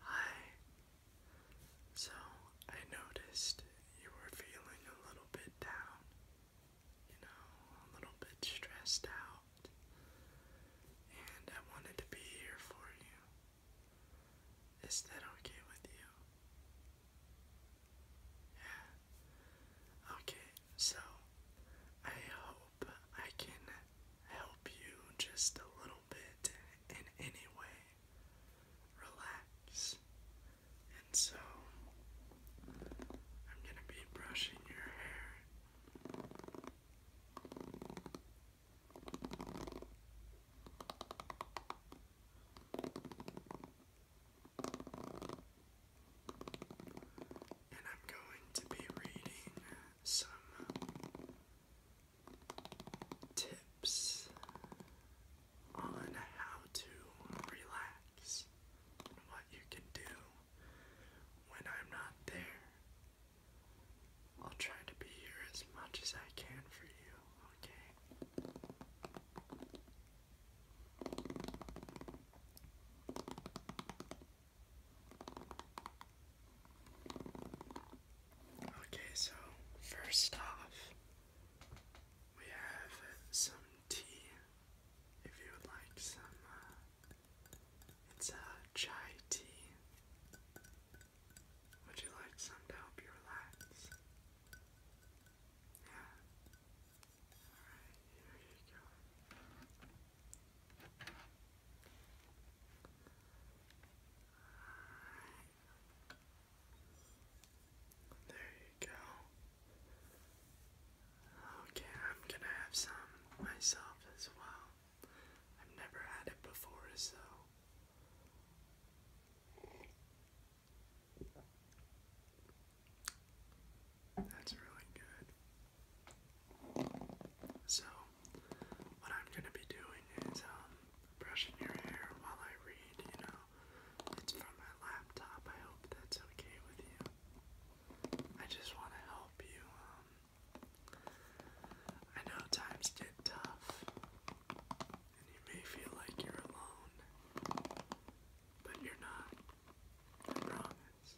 Hi. So, I noticed you were feeling a little bit down, you know, a little bit stressed out, and I wanted to be here for you. Is that okay with you? Yeah. Okay, so I hope I can help you just a little bit in any way relax. And so I'm going to be brushing your hair. And I'm going to be reading some tips on how to relax what you can do when I'm not there. I'll try to be here as much as I can for you, okay? Okay, so first off, we have some tea. If you would like some, uh, it's a uh, chai tea. Would you like some to help you relax? Yeah. Alright, here you go. There you go. Okay, I'm gonna have some myself as well. I've never had it before, so. That's really good. So, what I'm gonna be doing is um, brushing your hair while I read, you know. It's from my laptop. I hope that's okay with you. I just wanna help you, um, I know times get tough and you may feel like you're alone. But you're not. I promise.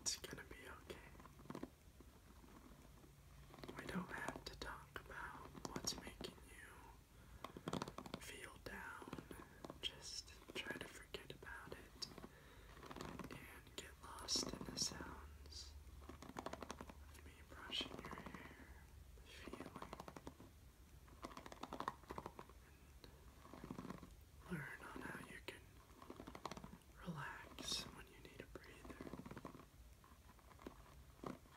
It's gonna be okay. We don't have to talk about what's making you feel down. Just try to forget about it and get lost in the sounds of me brushing your hair, the feeling, learn on how you can relax when you need a breather. Alright,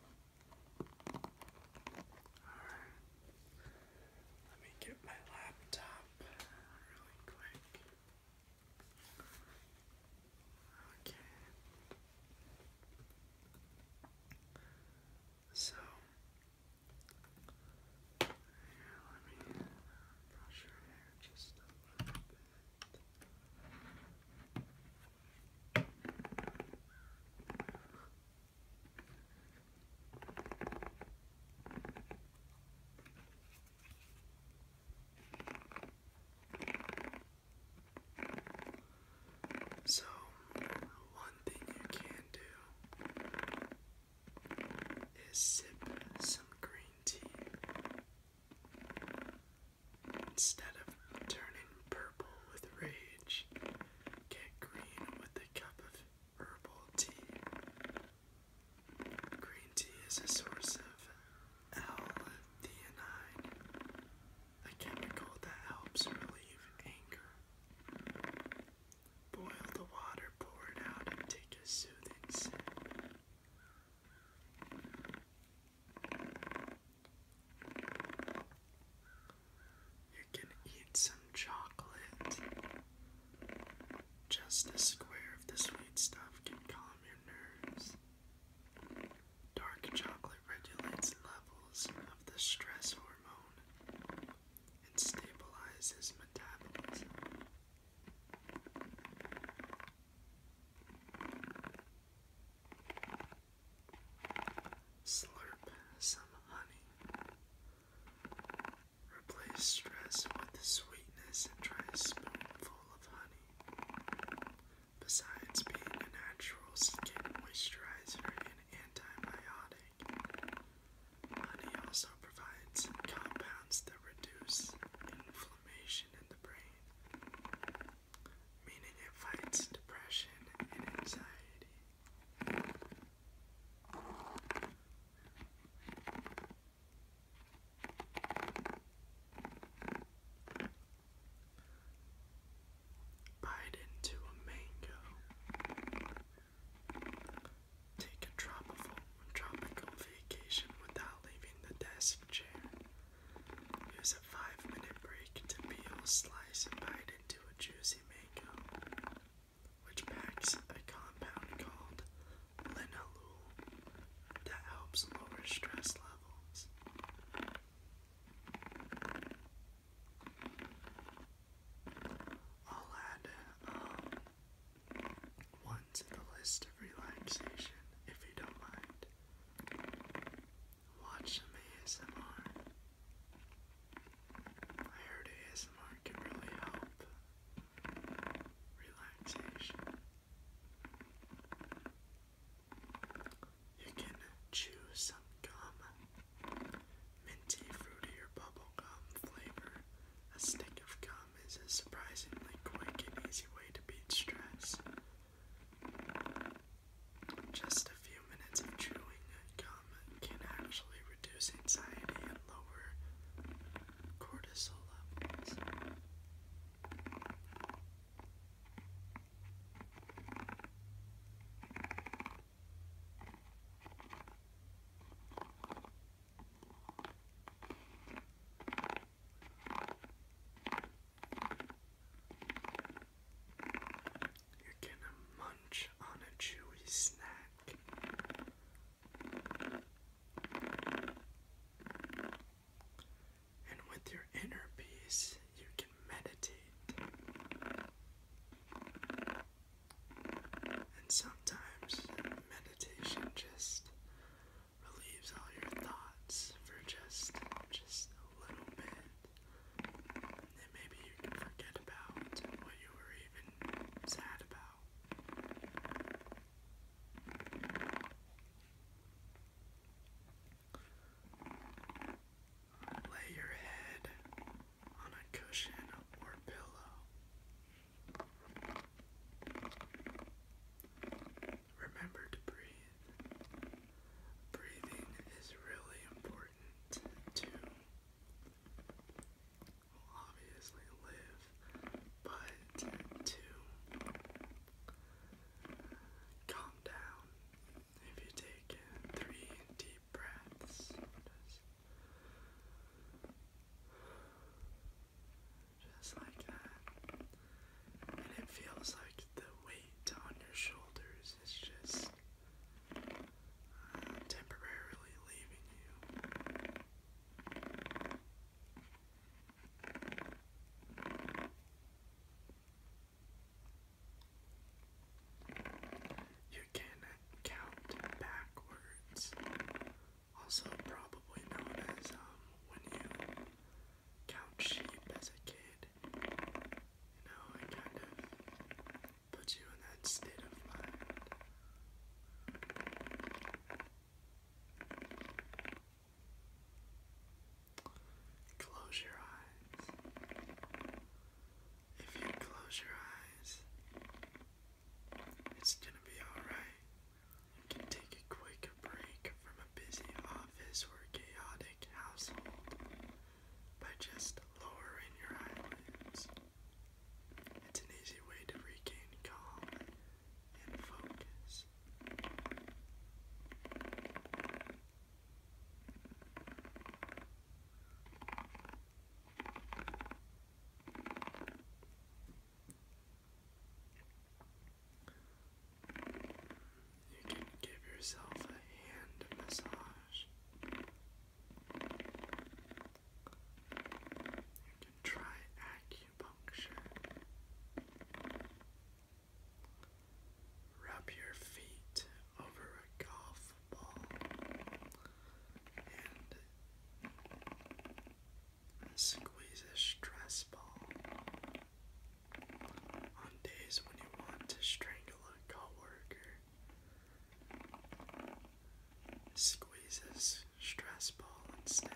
let me get my laptop really quick. Okay. So, let me brush your hair just a little bit. So, one thing you can do is sip some green tea instead of turning purple with rage, get green with a cup of herbal tea. Green tea is a source of L-theanine, a chemical that helps relieve anger. Boil the water, pour it out, and take a soothing sip. You can eat some chocolate. Just a square of the sweet stuff can calm your nerves. Dark chocolate regulates levels of the stress hormone and stabilizes metabolism. Slurp some honey. Replace stress with the sweetness and try a spoonful of honey. Besides being a natural skin moisturizer and antibiotic, honey also provides compounds that reduce inflammation in the brain, meaning it fights depression and anxiety. Bite into a mango. Take a tropical, vacation without leaving the desk chair. Use a five minute break to peel, slice, and bite into a juicy mango which packs a compound called linalool that helps lower stress levels. I'll add um, one to the list of relaxation if you don't mind. Watch ASMR. I heard ASMR can really help relaxation. You can chew some gum, minty, fruity, or bubblegum flavor. A stick of gum is a surprisingly quick and easy way to beat stress. Just a few minutes of chewing gum can actually reduce anxiety and lower cortisol levels. You're gonna munch on a chewy snack and with your inner peace, you can meditate. And sometimes meditation just relieves all your thoughts for just just a little bit. And maybe you can forget about what you were even sad about. Lay your head on a cushion or pillow. Remember to breathe. Breathing is really important to will obviously live, but to calm down, if you take three deep breaths, just, like that, and it feels like the weight on your shoulders is just i temporarily leaving you. You can count backwards. Also, probably known as um, when you count sheep as a kid. You know, it kind of put you in that state of mind. Close your eyes. If you close your eyes, it's gonna be alright. You can take a quick break from a busy office or chaotic household by just lowering your eyelids it's an easy way to regain calm and focus. You can give yourself a hand massage. You can try acupuncture. Rub your feet over a golf ball and squeeze a stress ball. On days when you want to strangle a coworker, Squeeze this stress ball instead.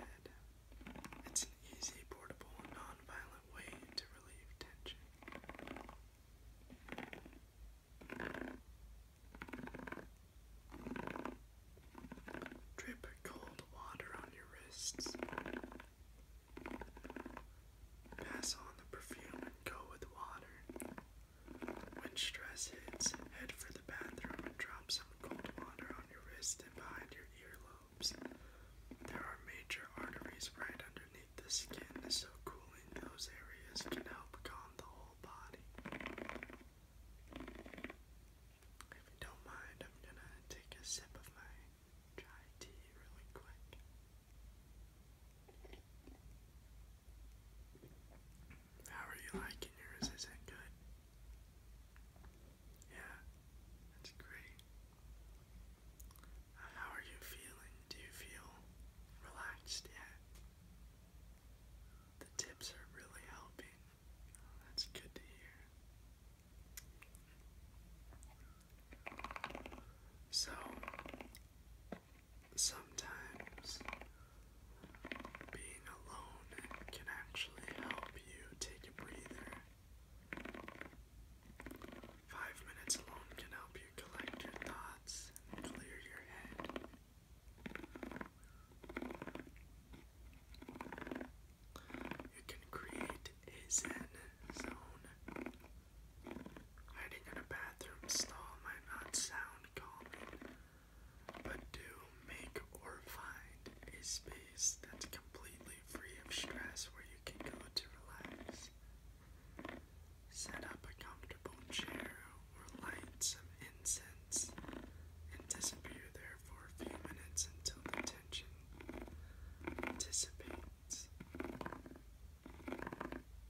It's an easy, portable, non-violent way to relieve tension. Drip cold water on your wrists. Pass on the perfume and go with water. When stress hits, head for the bathroom and drop some cold water on your wrist and behind your earlobes. There are major arteries right underneath the skin, so cooling those areas can help calm the whole body. If you don't mind, I'm gonna take a sip of my chai tea really quick. How are you liking yours? Is it good? Yeah, that's great. Uh, how are you feeling? Do you feel relaxed yet? The tips are really helping. Oh, that's good to hear. So, sometimes being alone can actually help you take a breather. Five minutes alone can help you collect your thoughts clear your head. You can create a zen zone. Hiding in a bathroom stall might not sound calming, but do make or find a space that's completely free of stress where you can go to relax. Set up a comfortable chair or light some incense and disappear there for a few minutes until the tension dissipates.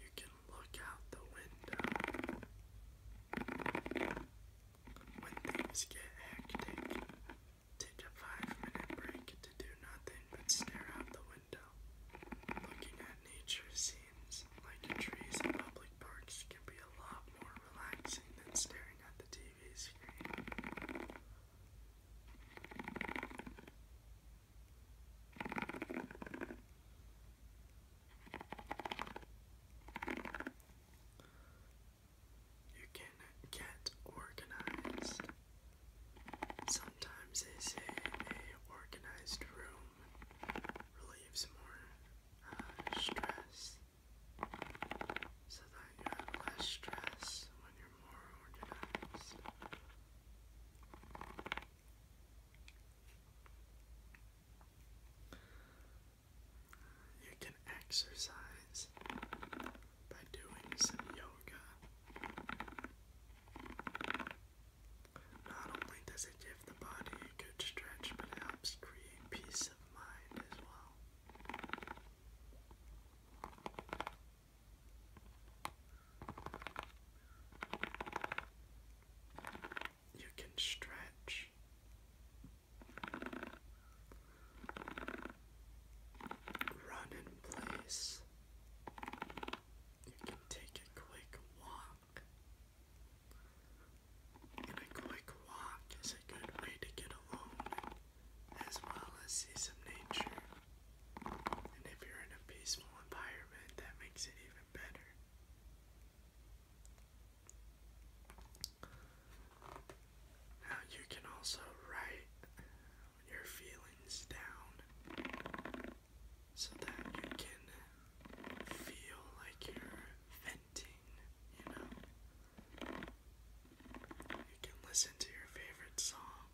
You can look out the window. When things get hectic, take a five minute break to do nothing but stare out the window. Looking at nature scenes like trees in public parks can be a lot more relaxing than staring at the TV screen. You can get organized. Sometimes they say a organized room relieves more uh, stress, so that you have less stress when you're more organized. You can exercise by doing some yoga. Not only does it give the body a good stretch, but it helps create peace of mind as well you can stretch. Run in place. You can take a quick walk. And a quick walk is a good way to get alone as well as see some nature. And if you're in a peaceful environment, that makes it even better. Now you can also write your feelings down so that you can feel like you're venting, you know. You can listen to your favorite song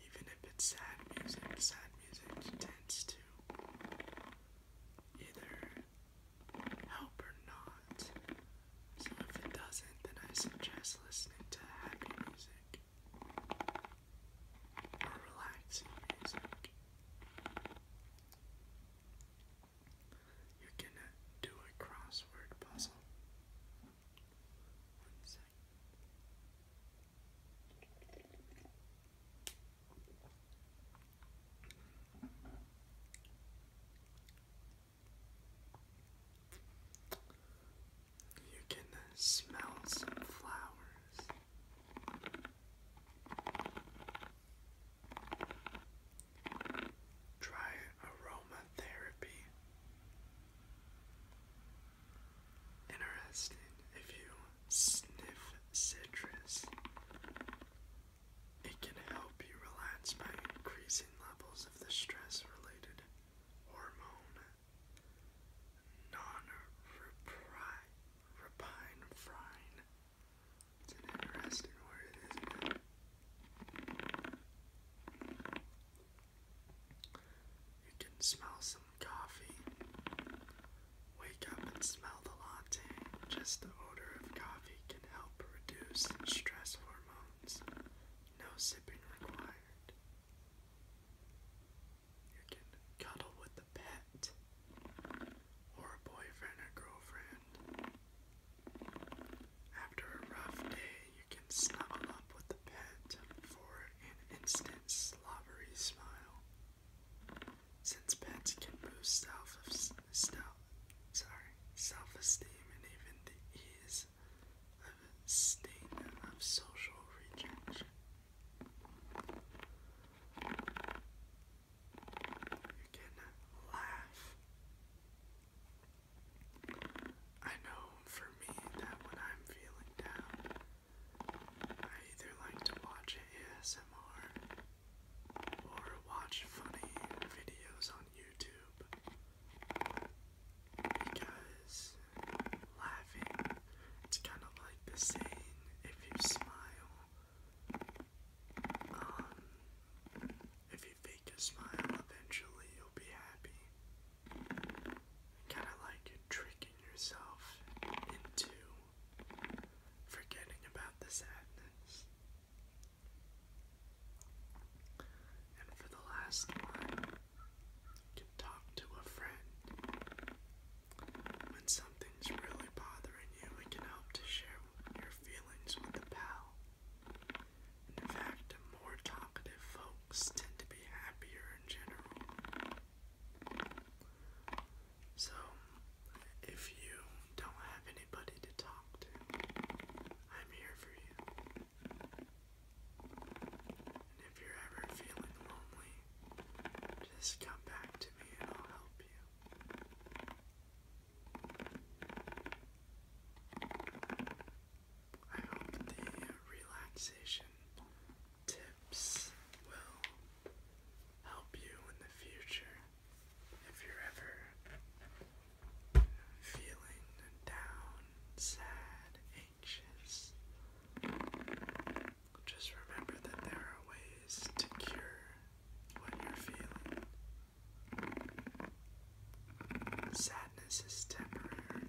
even if it's sad music, sad music tends to either help or not. So if it doesn't, then I suggest listening to happy music or relaxing music. You can do a crossword puzzle. You can smell some flowers. Try aromatherapy. Interesting. If you sniff citrus, it can help you relax by increasing levels of the stress related hormone non repine frine. It's an interesting word, isn't it? You can smell some coffee. Wake up and smell the latte. Just the odor of coffee can help reduce stress hormones. No sipping required. You can cuddle with a pet or boyfriend or girlfriend. After a rough day, you can snuggle up with the pet for an instant slobbery smile. Since pets can boost self, self sorry, self-esteem and even the ease of state of social rejection. You can laugh. I know for me that when I'm feeling down, I either like to watch ASMR or watch funny videos on YouTube because laughing, it's kind of like the saying if you smile, um, if you fake a smile, eventually you'll be happy. Kind of like a trick yourself into forgetting about the sadness. And for the last one, you can talk to a friend. When something's really bothering you, it can help to share your feelings with a pal. In fact, more talkative folks tend to be happier in general. So, if you don't have anybody to talk to, I'm here for you. And if you're ever feeling lonely, just come back to me and I'll help you. I hope the relaxation tips will help you in the future if you're ever feeling down, sad, anxious. Just remember that there are ways to cure what you're feeling. Sadness is temporary.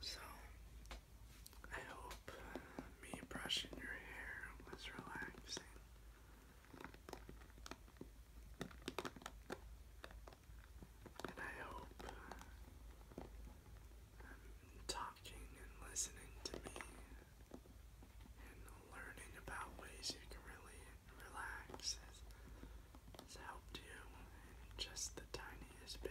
So, I hope me brushing your hair was relaxing. And I hope um, talking and listening to me and learning about ways you can really relax has, helped you just the tiniest bit.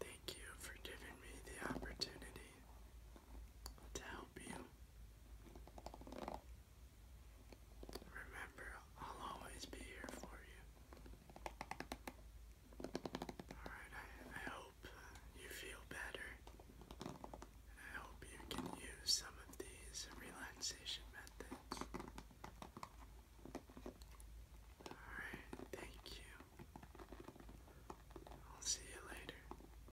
Thank you for giving me the opportunity to help you. Remember, I'll always be here for you. Alright, I, I hope uh, you feel better. I hope you can use some of these relaxation methods. Alright, thank you. I'll see you later.